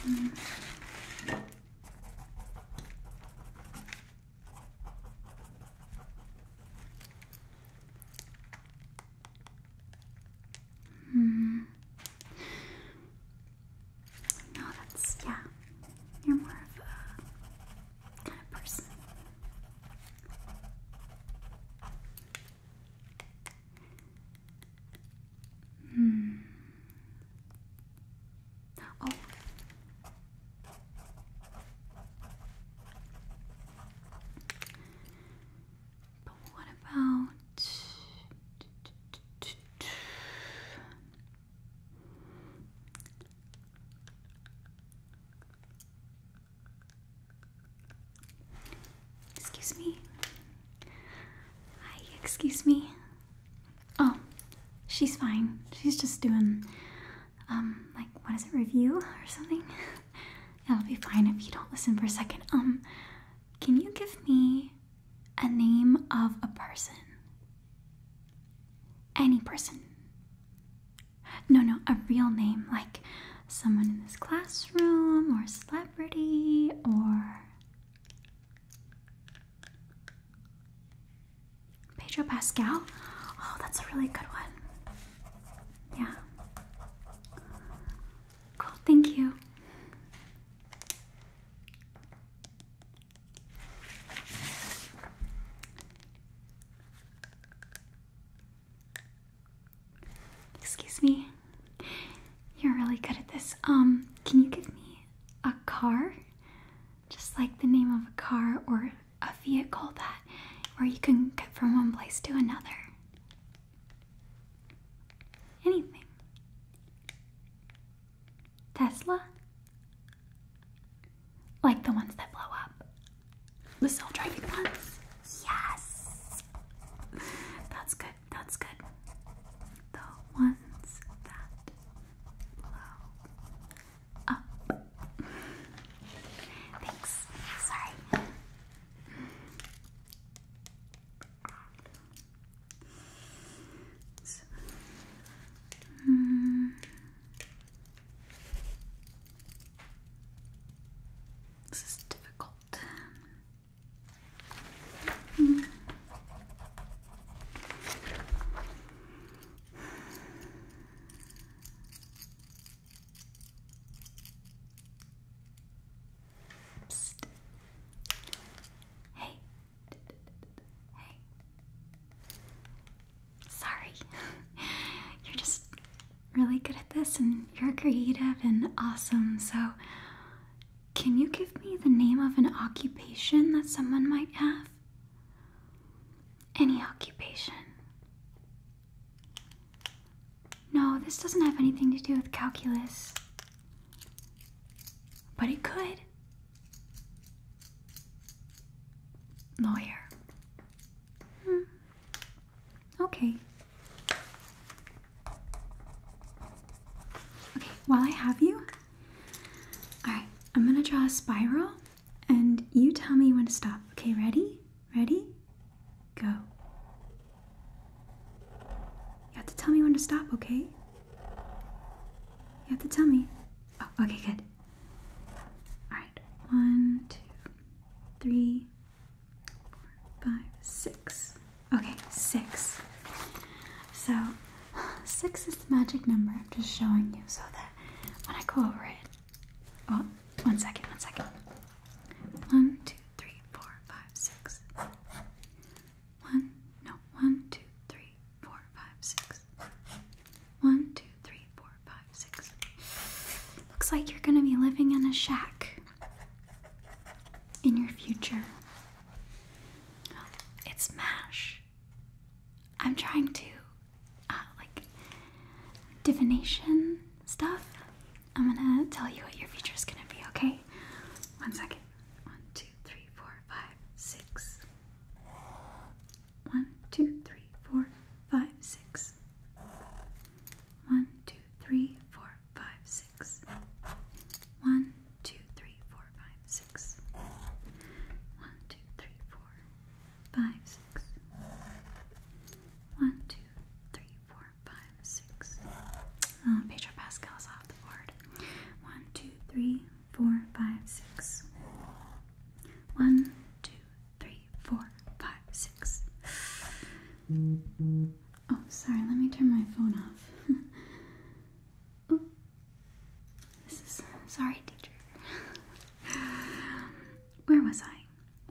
Mm. Mm. No, that's yeah. You're more of a kind of person. Hmm. Oh. But what about Excuse me. Hi, excuse me. Oh, she's fine. She's just doing, um, like, what is it, review or something? That'll be fine if you don't listen for a second. Um, can you give me a name of a person? Any person. No, no, a real name, like someone in this classroom or a celebrity or Pedro Pascal? Oh, that's a really good one. Yeah. Cool, thank you. Excuse me. You're really good at this. Um, can you give me a car? Just like the name of a car or a vehicle that where you can get from one place to another. Anything. Tesla? Like the ones that blow up. The self-driving ones. Yes. That's good. That's good. The ones that blow up. Thanks. Sorry. So, hmm. This is difficult. Hey. Sorry. You're just really good at this and you're creative and awesome. So, can you give me the name of an occupation that someone might have? Any occupation. No, this doesn't have anything to do with calculus. But it could. Lawyer. Hmm. Okay. Okay, while I have you, alright, I'm gonna draw a spiral and you tell me when to stop. Okay, ready? Ready? Go. You have to tell me when to stop, okay? You have to tell me. Oh, okay, good. Alright, one, two, three, five, six. Okay, six. So, six is the magic number I'm just showing you so that when I go over it. Oh, one second, one second. One, two, three, four, five, six. One, no, one, two, three, four, five, six. One, two, three, Looks like you're gonna be living in a shack in your future. it's MASH. I'm trying to, uh, like, divination stuff. I'm gonna tell you what your future is gonna be, okay? One second. One, two, three, four, five, six. One, two, three, four, five, six. One, two, three, four, five, six. One, two, three, four, five, six. One, two, three, four, five, six. One, two, three, four, five, six. Oh, Pedro Pascal is off the board. One, two, three, four, five, six. One, two, three, four, five, six. Oh, sorry, let me turn my phone off. Ooh. This is sorry, teacher. Where was I?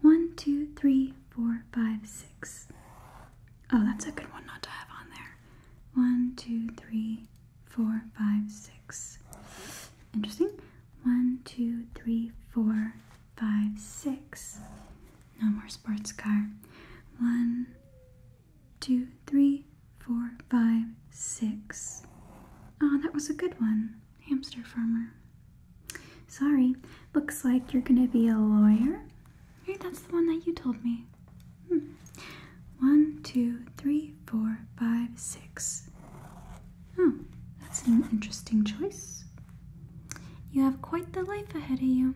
One, two, three, four, five, six. Oh, that's a good one not to have on there. One, two, three, four, five, six. Interesting. One, two, three, four, five, six. No more sports car. One, two, three, four, five, six. Oh, that was a good one. Hamster farmer. Sorry, looks like you're gonna be a lawyer. Right, that's the one that you told me. Hmm. One, two, three, four, five, six. Oh, that's an interesting choice. You have quite the life ahead of you.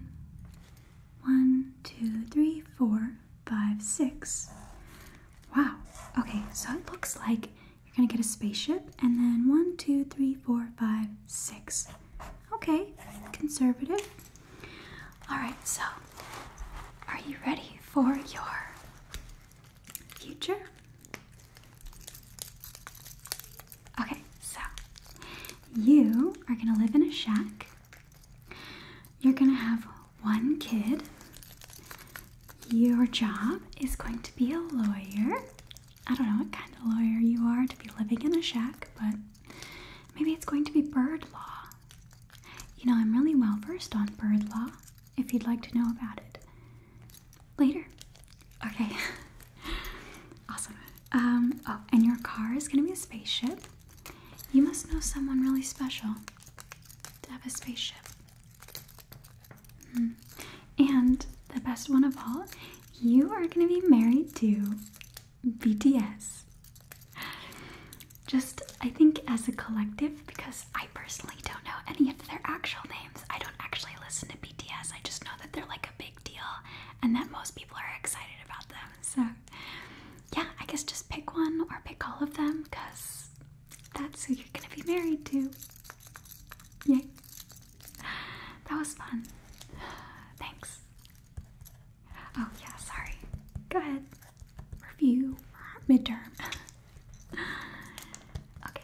One, two, three, four, five, six. Wow. Okay, so it looks like you're gonna get a spaceship and then one, two, three, four, five, six. Okay, conservative. Alright, so are you ready for your future. Okay, so you are gonna live in a shack. You're gonna have one kid. Your job is going to be a lawyer. I don't know what kind of lawyer you are to be living in a shack, but maybe it's going to be bird law. You know, I'm really well versed on bird law if you'd like to know about it later. Okay. awesome. Um, oh, and your car is gonna be a spaceship. You must know someone really special to have a spaceship. Hmm. And the best one of all, you are gonna be married to BTS. Just, I think, as a collective, because I personally don't know any of their actual names. I don't actually listen to I just know that they're like a big deal and that most people are excited about them. So, yeah, I guess just pick one or pick all of them because that's who you're going to be married to. Yay. That was fun. Thanks. Oh, yeah, sorry. Go ahead. Review midterm. okay.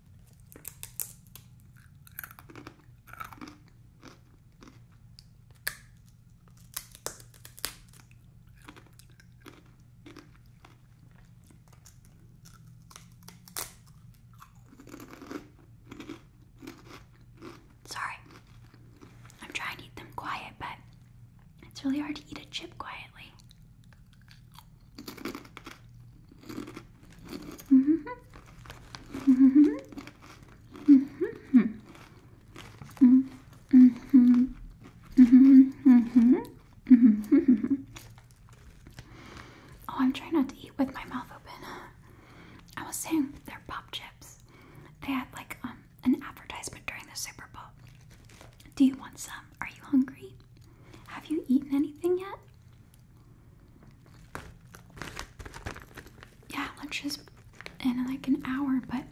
Sorry, I'm trying to eat them quiet, but it's really hard to eat a chip quietly. Mm -hmm. Mm -hmm. Mm -hmm. Mm -hmm. Mm -hmm. Mm -hmm. Oh, I'm trying not to eat with my mouth open. I was saying they're pop chips. They had like um an advertisement during the Super Bowl. Do you want some? Are you hungry? Have you eaten anything yet? Yeah, lunches in like an hour, but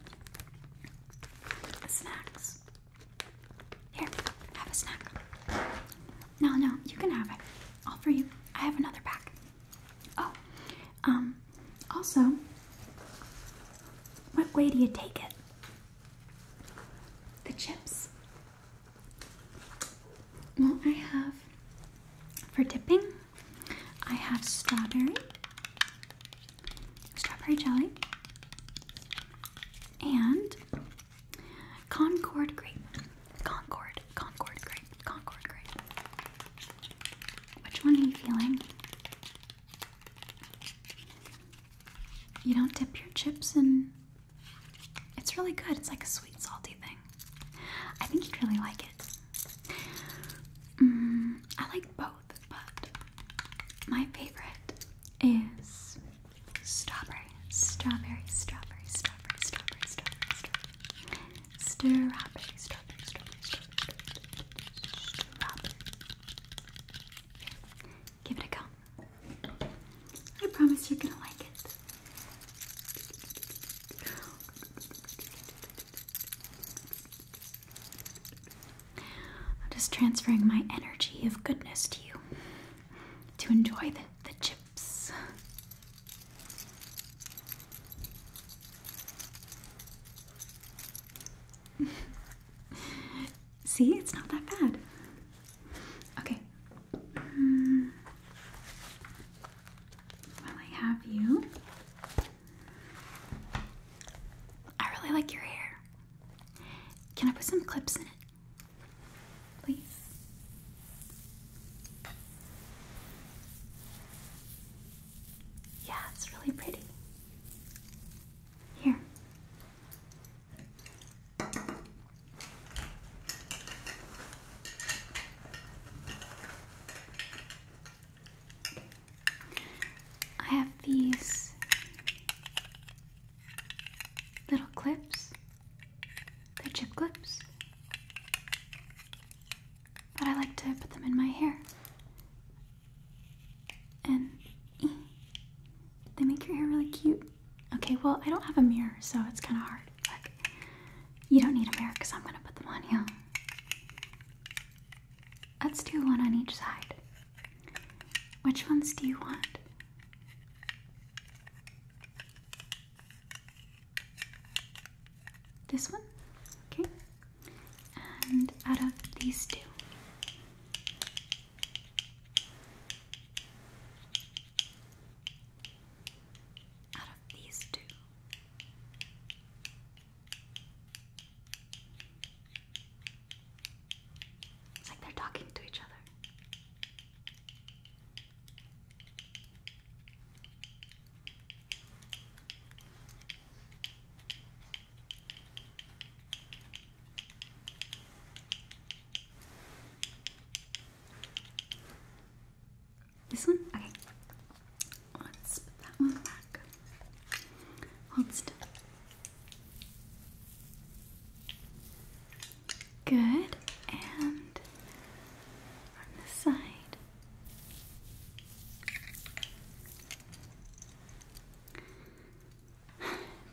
snacks. Here, have a snack. No, no, you can have it. All for you. I have another pack. Oh, um, also, what way do you take it? The chips. Well, I have for dipping, I have strawberry, strawberry jelly, and Concord grape. Concord, Concord grape, Concord grape. Which one are you feeling? You don't dip your chips in it's really good. It's like a sweet, salty thing. I think you'd really like it. Mm, I like both, but my favorite is strawberry, strawberry, strawberry, strawberry, strawberry, strawberry, strawberry, strawberry, strawberry, Give it a go. I promise you're gonna like it. I'm just transferring my energy of goodness to you to enjoy the, chips. See, it's not that bad. Okay. Mm. I have you, I really like your hair. Can I put some clips in it? Please. Yeah, it's really pretty. Here. I have these little clips. They're chip clips. But I like to put them in my hair. And eh, they make your hair really cute. Okay, well, I don't have a mirror, so it's kind of hard. Like, you don't need a mirror because I'm going to put them on you. Let's do one on each side. Which ones do you want? This one? Okay. And out of these two out of these two. It's like they're talking to each other. This one? Okay. Let's that one back. Hold still. Good. And on the side.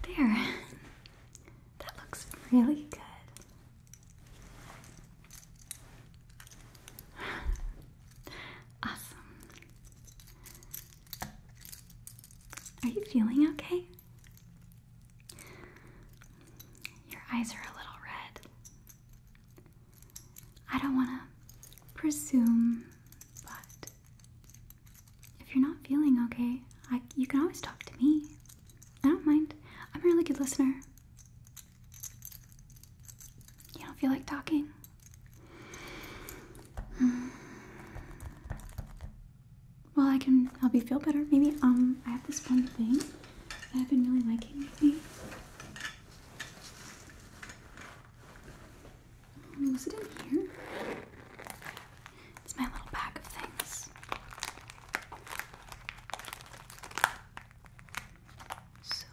There. That looks really good. Awesome. Are you feeling okay? Your eyes are a little red. I don't want to presume, but if you're not feeling okay, you can always talk to me. I don't mind. I'm a really good listener. You don't feel like talking? Hmm. Well, I can help you feel better. Maybe um, I have this one thing that I've been really liking lately. Hmm, it in here? It's my little bag of things. So,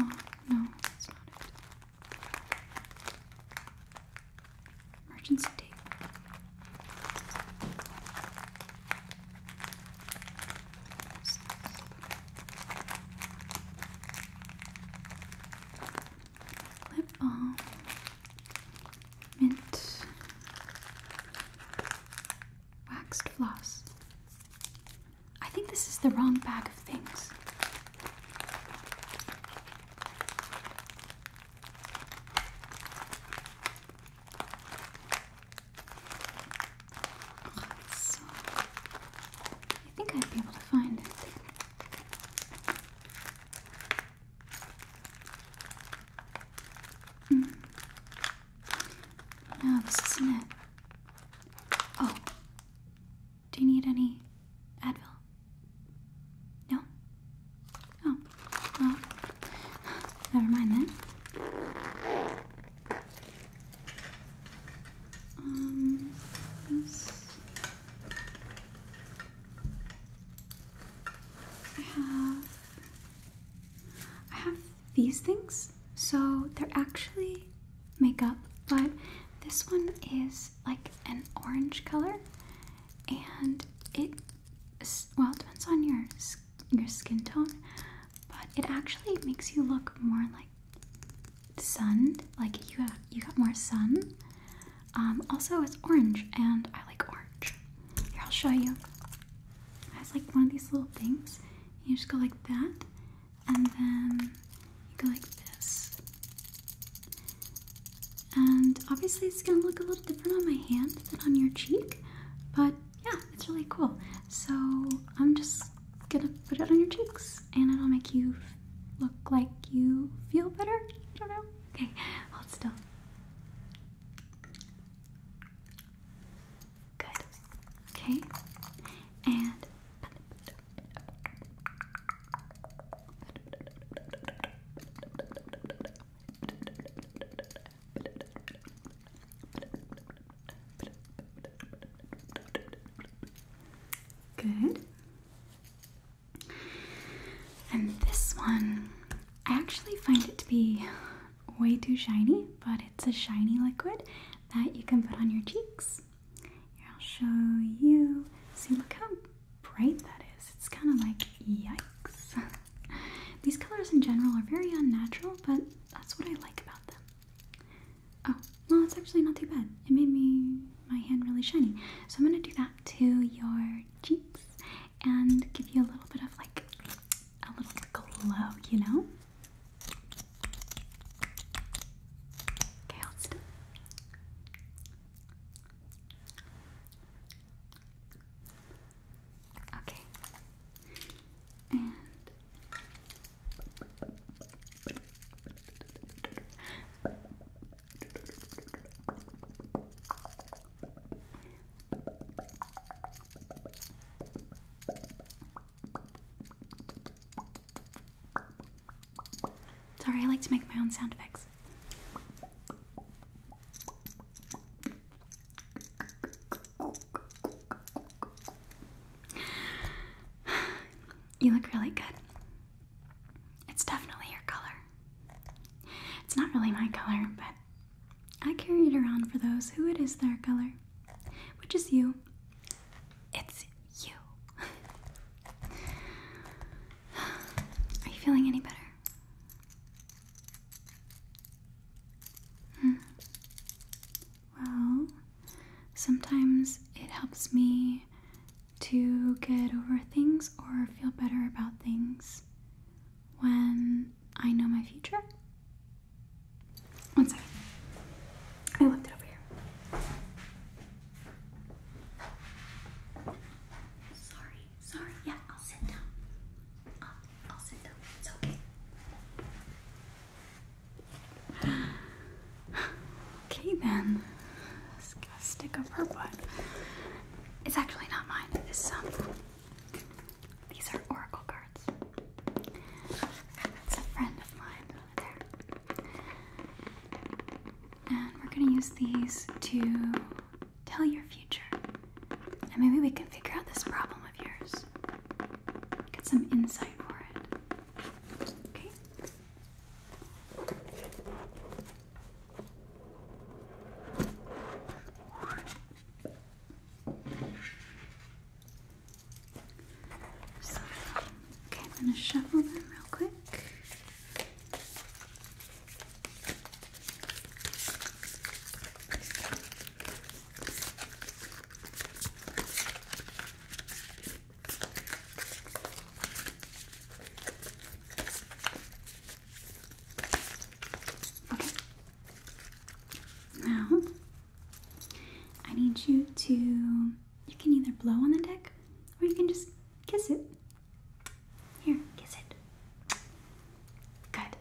oh no, that's not it. Emergency tape. Lip balm mint, waxed floss. I think this is the wrong bag of things. so, I think I'd be able to find it. Hmm. No, this isn't it. Oh, do you need any Advil? No? Oh, never mind then. Um, I have I have these things. So they're actually makeup, but this one is like an orange color and it well, depends on your your skin tone, but it actually makes you look more like sunned, like you have you got more sun um, also, it's orange, and I like orange. Here, I'll show you. It has like one of these little things. You just go like that, and then you go like this. And obviously, it's gonna look a little different on my hand than on your cheek, but yeah, it's really cool. So, I'm just gonna put it on your cheeks, and it'll make you look like you feel better. I don't know. Okay, hold still. Good. Okay. And Good. And this one, I actually find it to be way too shiny, but it's a shiny liquid that you can put on your cheeks. I'll show you. See, look how bright that is. It's kind of like yikes. These colors in general are very unnatural, but that's what I like about them. Oh, well, it's actually not too bad. It made me my hand really shiny. So I'm going to do that to your cheeks and give you a little bit of like a little glow, you know? Okay, hold still. Okay. Sorry, I like to make my own sound effects. You look really good. It's definitely your color. It's not really my color, but I carry it around for those who it is their color, which is you. It's you. Are you feeling any better? Hmm. Well, sometimes it helps me to get over things or feel better about things when I know my future. One second. I left it over here. Sorry, sorry. Yeah, I'll sit down. I'll, I'll sit down. It's okay. Okay then, stick of her butt. It's actually not mine. It's um, these are oracle cards. That's a friend of mine there. And we're gonna use these to tell your future, and maybe we can figure out this problem of yours. Get some insight for it. Okay. So, okay, I'm going to shuffle them real quick. Okay, Okay. Now, I need you to. You can either blow on the deck or you can just kiss it. Here, kiss it. Good.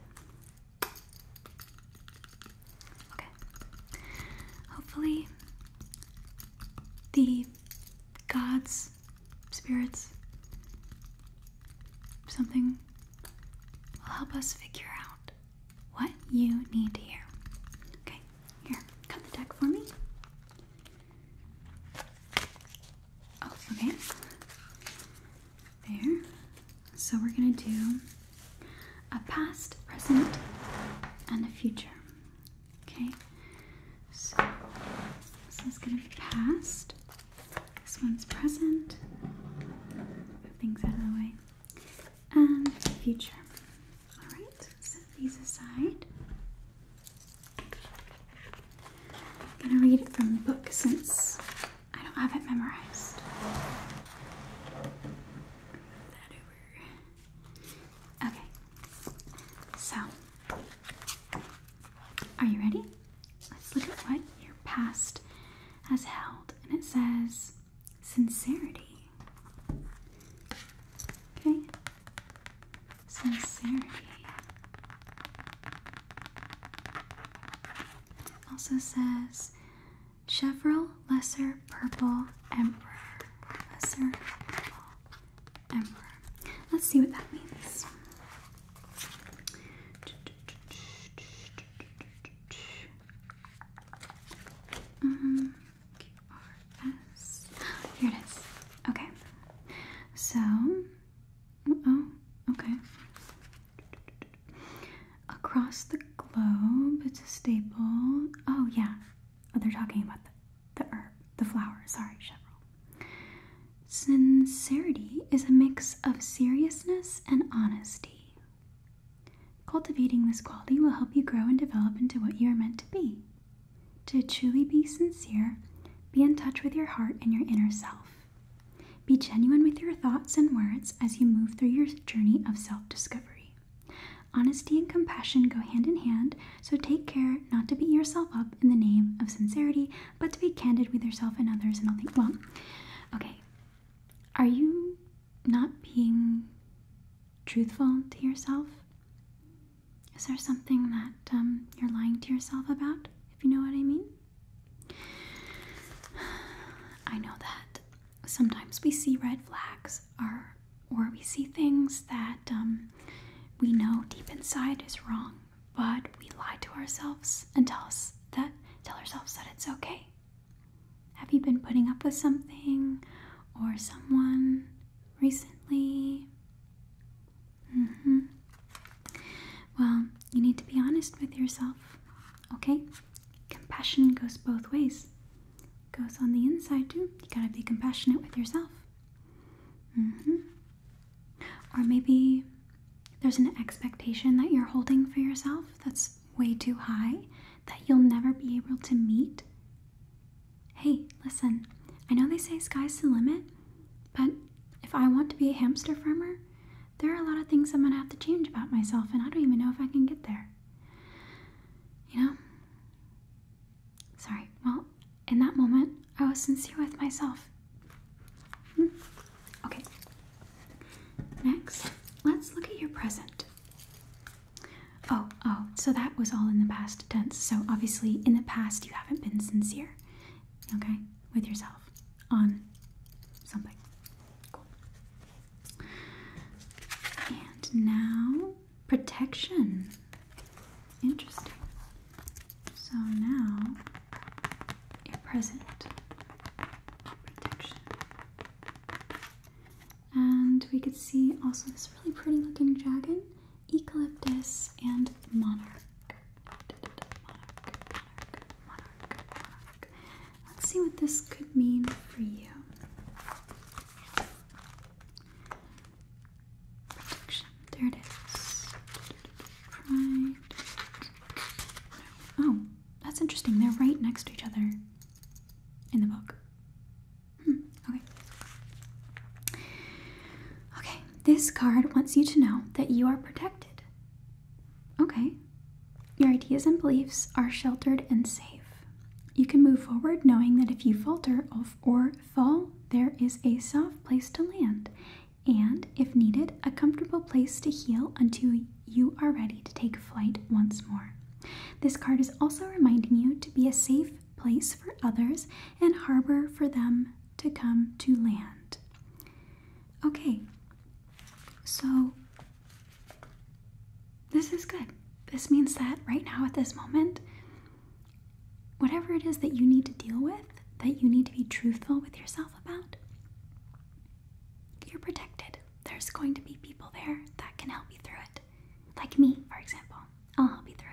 Okay. Hopefully, the gods Spirits? Something will help us figure out what you need here. Okay, here, cut the deck for me. Oh, okay. There. So we're gonna do a past, present, and a future. Okay, so this is going to be past. This one's present. Move things out of the way. And future. Alright, set these aside. I'm going to read it from the book since I don't have it memorized. Move that over. Okay, so are you ready? Let's look at what your past has held, and it says sincerity. Okay, sincerity. Also says chevron Lesser Purple Emperor. Lesser Emperor. Let's see what that means. Mm, Here it is. Okay. So, oh, oh, okay. Across the globe, it's a staple. Oh, yeah. Oh, they're talking about the the herb, the flower, sorry, Chevril. Sincerity is a mix of seriousness and honesty. Cultivating this quality will help you grow and develop into what you are meant to be. To truly be sincere, be in touch with your heart and your inner self. Be genuine with your thoughts and words as you move through your journey of self discovery. Honesty and compassion go hand in hand, so take care not to beat yourself up in the name of sincerity, but to be candid with yourself and others. And I'll think, well, okay, are you not being truthful to yourself? Is there something that um, you're lying to yourself about, if you know what I mean? I know that sometimes we see red flags or we see things that um, we know deep inside is wrong, but we lie to ourselves and tell us that tell ourselves that it's okay. Have you been putting up with something or someone recently? Mm-hmm. Well, you need to be honest with yourself, okay? Compassion goes both ways. goes on the inside too. You gotta be compassionate with yourself. Mm-hmm. Or maybe there's an expectation that you're holding for yourself that's way too high that you'll never be able to meet. Hey, listen, I know they say sky's the limit, but if I want to be a hamster farmer, there are a lot of things I'm gonna have to change about myself, and I don't even know if I can get there. You know? Sorry, well, in that moment, I was sincere with myself. Hmm. Okay. Next, let's look at your present. Oh, oh, so that was all in the past tense. So obviously, in the past, you haven't been sincere, okay, with yourself on something. Cool. And now protection. Interesting. So now your present protection. And we could see also this really pretty looking dragon, eucalyptus, and monarch. monarch. Let's see what this could mean for you. There it is. Oh, that's interesting. They're right next to each other in the book. Hmm, okay. Okay, this card wants you to know that you are protected. Okay. Your ideas and beliefs are sheltered and safe. You can move forward knowing that if you falter or fall, there is a soft place to land, and, if needed, a comfortable place to heal until you are ready to take flight once more. This card is also reminding you to be a safe place for others and harbor for them to come to land. Okay, so this is good. This means that right now at this moment, whatever it is that you need to deal with, that you need to be truthful with yourself about, you're protected. There's going to be people there that can help you through it. Like me, for example. I'll help you through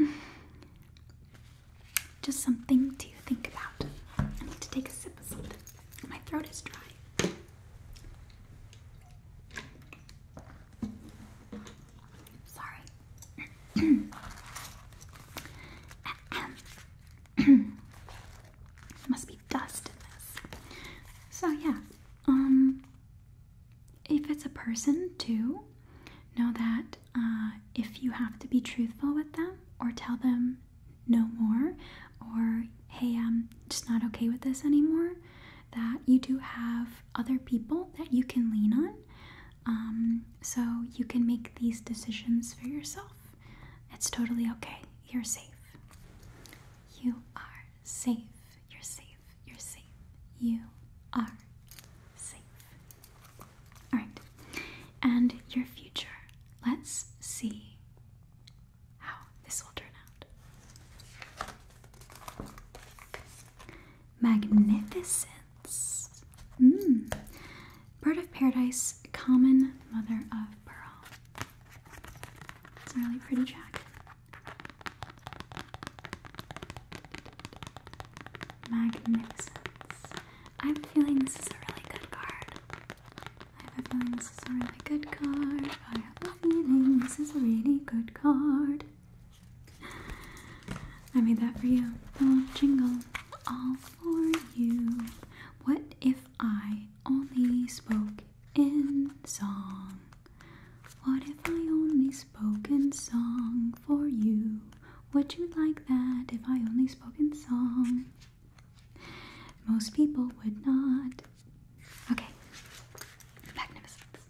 it. Just something to think about. I need to take a sip of something. My throat is dry. Sorry. Must be dust in this. So yeah, um, if it's a person too, know that uh, if you have to be truthful with them or tell them no more, or hey, I'm just not okay with this anymore, that you do have other people that you can lean on. Um, so you can make these decisions for yourself. It's totally okay. You're safe. You are safe. You're safe. You're safe. You are safe. All right. And your future. Let's see how this will turn out. Magnificence. Hmm. Bird of paradise, common mother of pearl. It's a really pretty jacket. Magnificence. I have a feeling this is a really good card. I have a feeling this is a really good card this is a really good card. I made that for you. The little jingle. All for you. What if I only spoke in song? What if I only spoke in song for you? Would you like that if I only spoke in song? Most people would not. Okay. Magnificence.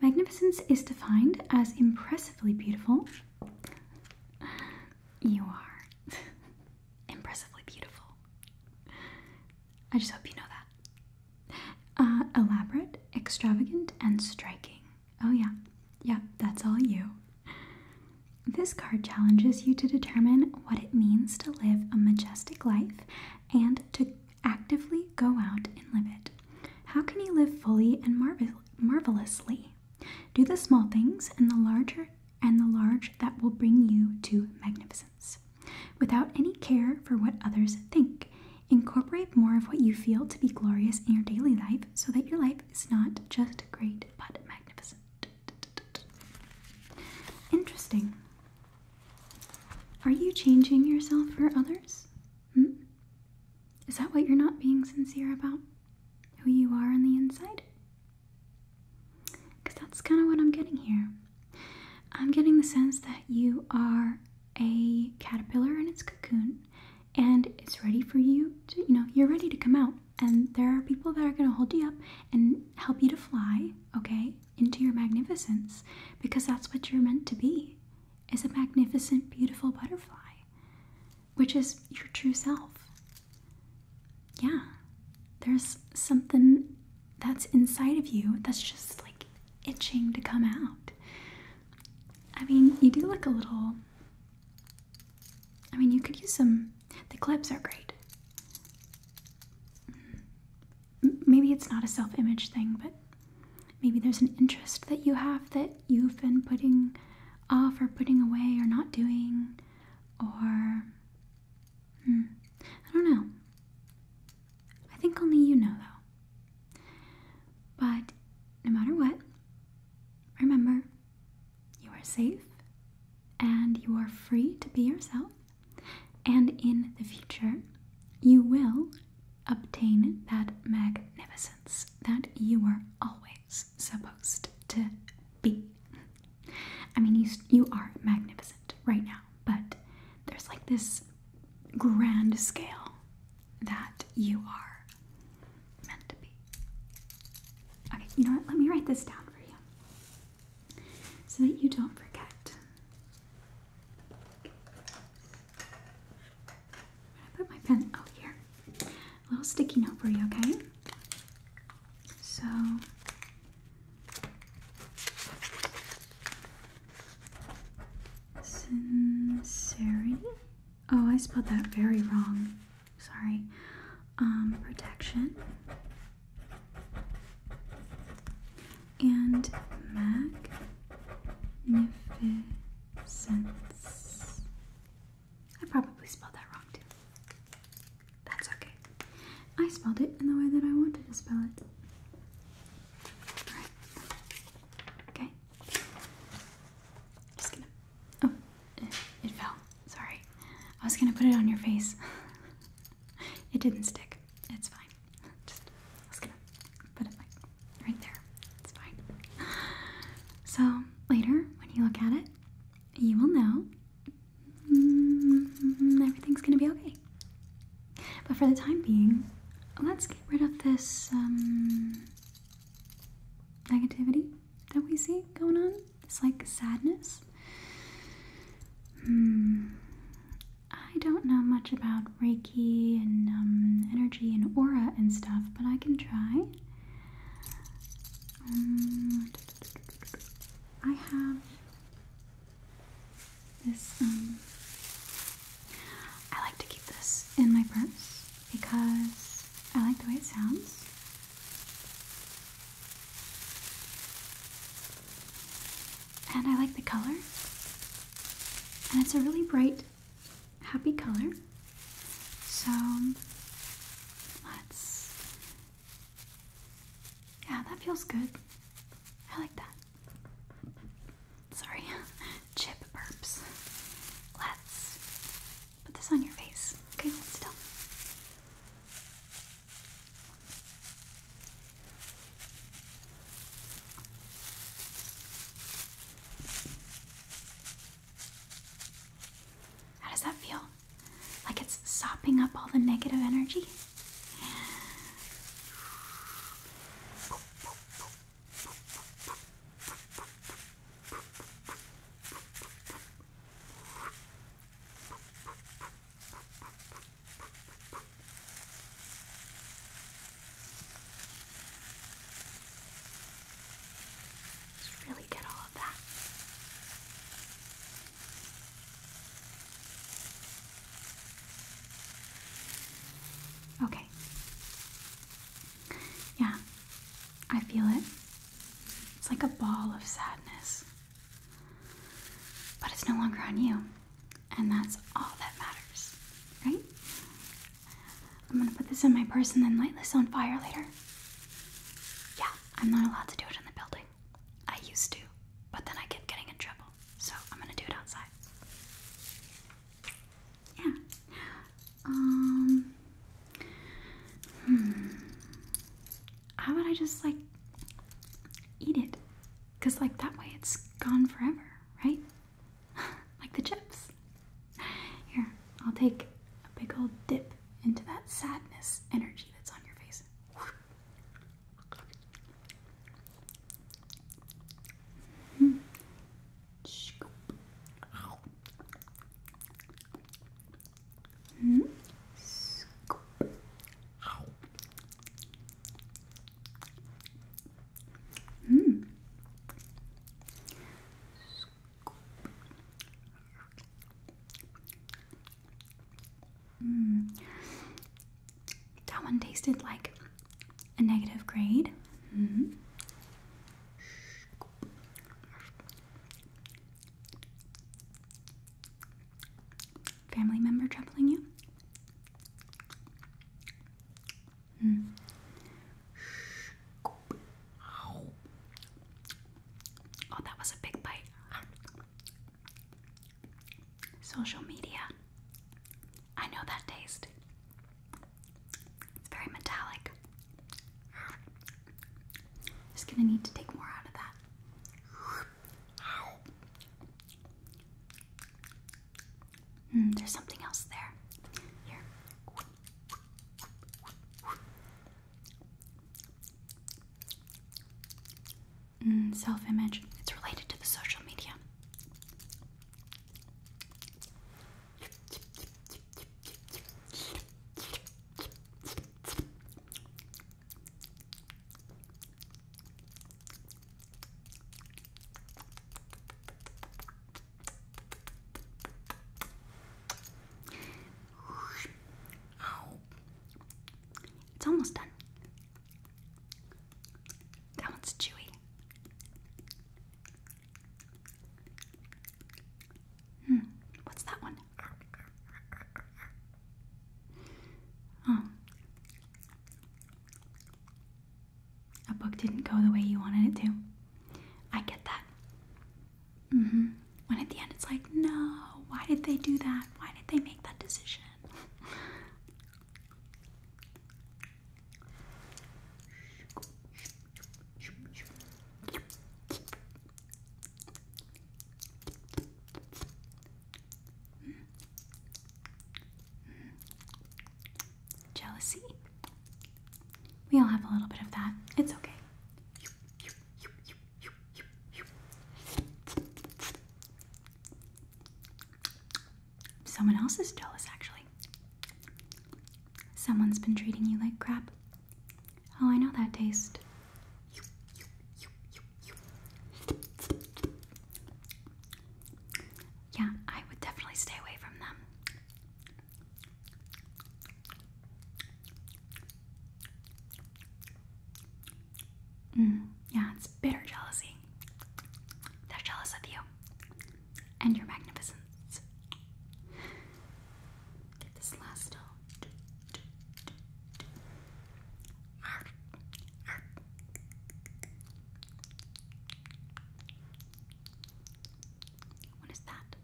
Magnificence is defined as impressively beautiful. You are impressively beautiful. I just hope you know that. Uh, elaborate, extravagant, and striking. Oh, yeah. Yeah, that's all you. This card challenges you to determine what it means to live a majestic life and to actively go out and live it. How can you live fully and marvelously? Do the small things and the larger and the large that will bring you to magnificence. Without any care for what others think, incorporate more of what you feel to be glorious in your daily life so that your life is not just great but magnificent. Interesting. Are you changing yourself for others? Hmm? Is that what you're not being sincere about? Who you are on the inside? Because that's kind of what I'm getting here. I'm getting the sense that you are a caterpillar in its cocoon and it's ready for you to, you know, you're ready to come out. And there are people that are going to hold you up and help you to fly, okay? into your magnificence because that's what you're meant to be is a magnificent beautiful butterfly which is your true self yeah there's something that's inside of you that's just like itching to come out i mean you do look a little i mean you could use some the clips are great maybe it's not a self image thing, but maybe there's an interest that you have that you've been putting off or putting away or not doing, or hmm, I don't know. I think only you know though. But no matter what, remember you are safe and you are free to be yourself and in the future you will obtain that magnificence that you were always supposed to be. I mean, you, you are magnificent right now, but there's like this grand scale that you are meant to be. Okay, you know what? Let me write this down for you so that you don't forget. i put my pen out here. A little sticky note for you, okay? So sincerity. Oh, I spelled that very wrong. Sorry. Um, protection and magnificence. I probably spelled that wrong too. That's okay. I spelled it in the way that I wanted to spell it. Alright. Okay. Just gonna. Oh, it, fell. Sorry. I was gonna put it on your face. it didn't stick. It's fine. Just, I was gonna put it like right there. It's fine. So later, when you look at it, you will know mm, everything's gonna be okay. But for the time being, let's get rid of this um, negativity that we see going on. It's like sadness Hmm. I don't know much about Reiki and um, energy and aura and stuff, but I can try. Um, I have this. Um, I like to keep this in my purse because I like the way it sounds and I like the color. And it's a really bright, happy color. So let's. Yeah, that feels good. I like that. Sorry, chip burps. Let's put this on your face. Okay, hold still. How does that feel? Like it's sopping up all the negative energy? Just really get all of that. Okay. Yeah, I feel it. It's like a ball of sadness. But it's no longer on you. And that's all that matters, right? I'm gonna put this in my purse and then light this on fire later. Yeah, I'm not allowed to do it in the building. I used to, but then I kept getting in trouble. So I'm gonna do it outside. Yeah. Um. Hmm how would I just like eat it? Because, like, that way it's gone forever, right? like the chips. Here, I'll take a big old dip into that sadness energy that's on your face. Hmm. Mm -hmm. That one tasted like a negative grade. Mm-hmm. Family member troubling you? Hmm. Oh, that was a big bite. Social media. I know that taste. It's very metallic. Just gonna need to take more out of that. Hmm, there's something else there. Here. Hmm, self image. It's related to the social media it's almost done. That one's chewy. Hmm, what's that one? Oh. A book didn't go the way you wanted it to. I get that. Mm hmm. When at the end it's like, no, why did they do that? Why did they make that decision? Jealousy? We all have a little bit of that. It's okay. Someone else is jealous, actually. Someone's been treating you like crap. Oh, I know that taste. Yeah, I would definitely stay away from them. Mm, yeah, it's bitter jealousy. They're jealous of you and your magnificence. Get this last note. What is that?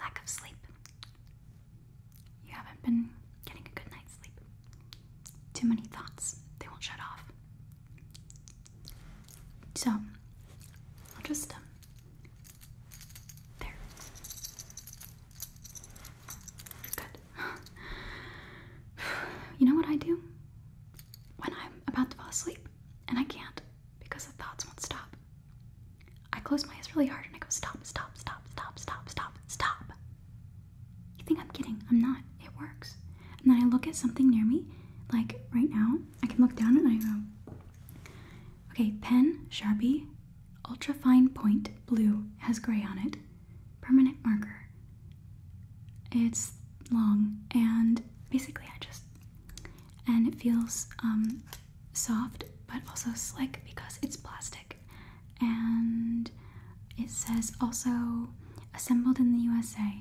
Lack of sleep. You haven't been getting a good night's sleep. Too many thoughts, they won't shut off. So, I'll just um, there. Good. You know what I do? When I'm about to fall asleep, and I can't because the thoughts won't stop, I close my eyes really hard and I go, stop, stop, stop, stop, stop, stop, stop. You think I'm kidding? I'm not. It works. And then I look at something near me, like right now, I can look down and I go, Okay, pen, Sharpie, ultra fine point, blue, has gray on it, permanent marker. It's long and basically I just, and it feels um, soft but also slick because it's plastic. And it says also assembled in the USA.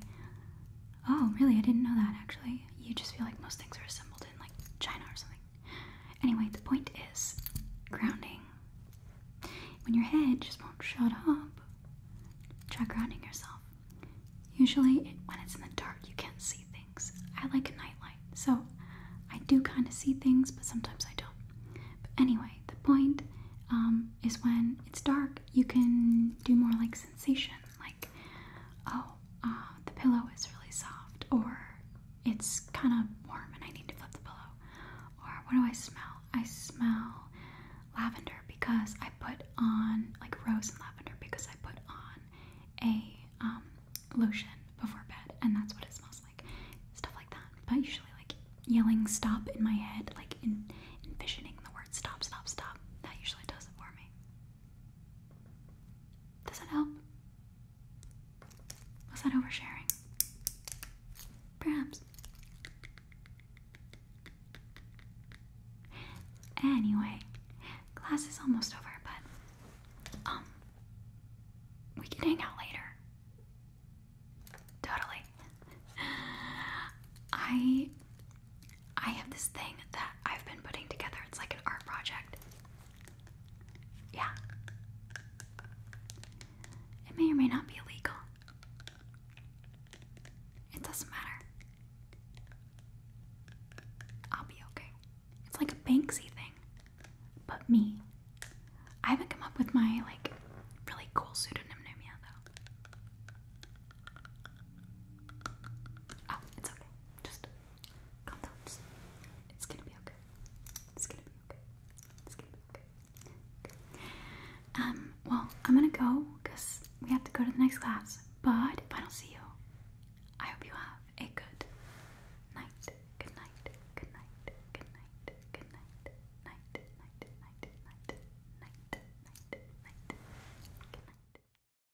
Oh, really? I didn't know that actually. You just feel like most things are assembled like China or something. Anyway, the point is grounding. When your head just won't shut up, try grounding yourself. Usually, when it's in the dark, you can't see things. I like a nightlight, so I do kind of see things, but sometimes I don't. But anyway, the point um, is when it's dark, you can do more like sensation, like oh, uh, the pillow is really soft, or it's kind of warm and I need to flip the pillow. Or what do I smell? I smell lavender because I put on like rose and lavender because I put on a um, lotion before bed, and that's what it smells like. Stuff like that. But usually, like yelling "stop" in my head, like envisioning the word "stop, stop, stop," that usually does it for me. Does that help? Was that oversharing? Perhaps. Anyway, class is almost over, but um we can hang out later. Totally. I I have this thing that I've been putting together. It's like an art project. Yeah. It may or may not be illegal. It doesn't matter. I'll be okay. It's like a Banksy thing, but me. I haven't come up with my like really cool pseudonym though. Oh, it's okay. Just it's gonna be okay. It's gonna be okay. It's gonna be okay. Um, well, I'm gonna go because we have to go to the next class. But if I don't see you, I hope you have a good night. Good night. Good night. Good night. Good night. Night. Night. Night. Night. Night. Night. Night. Good night.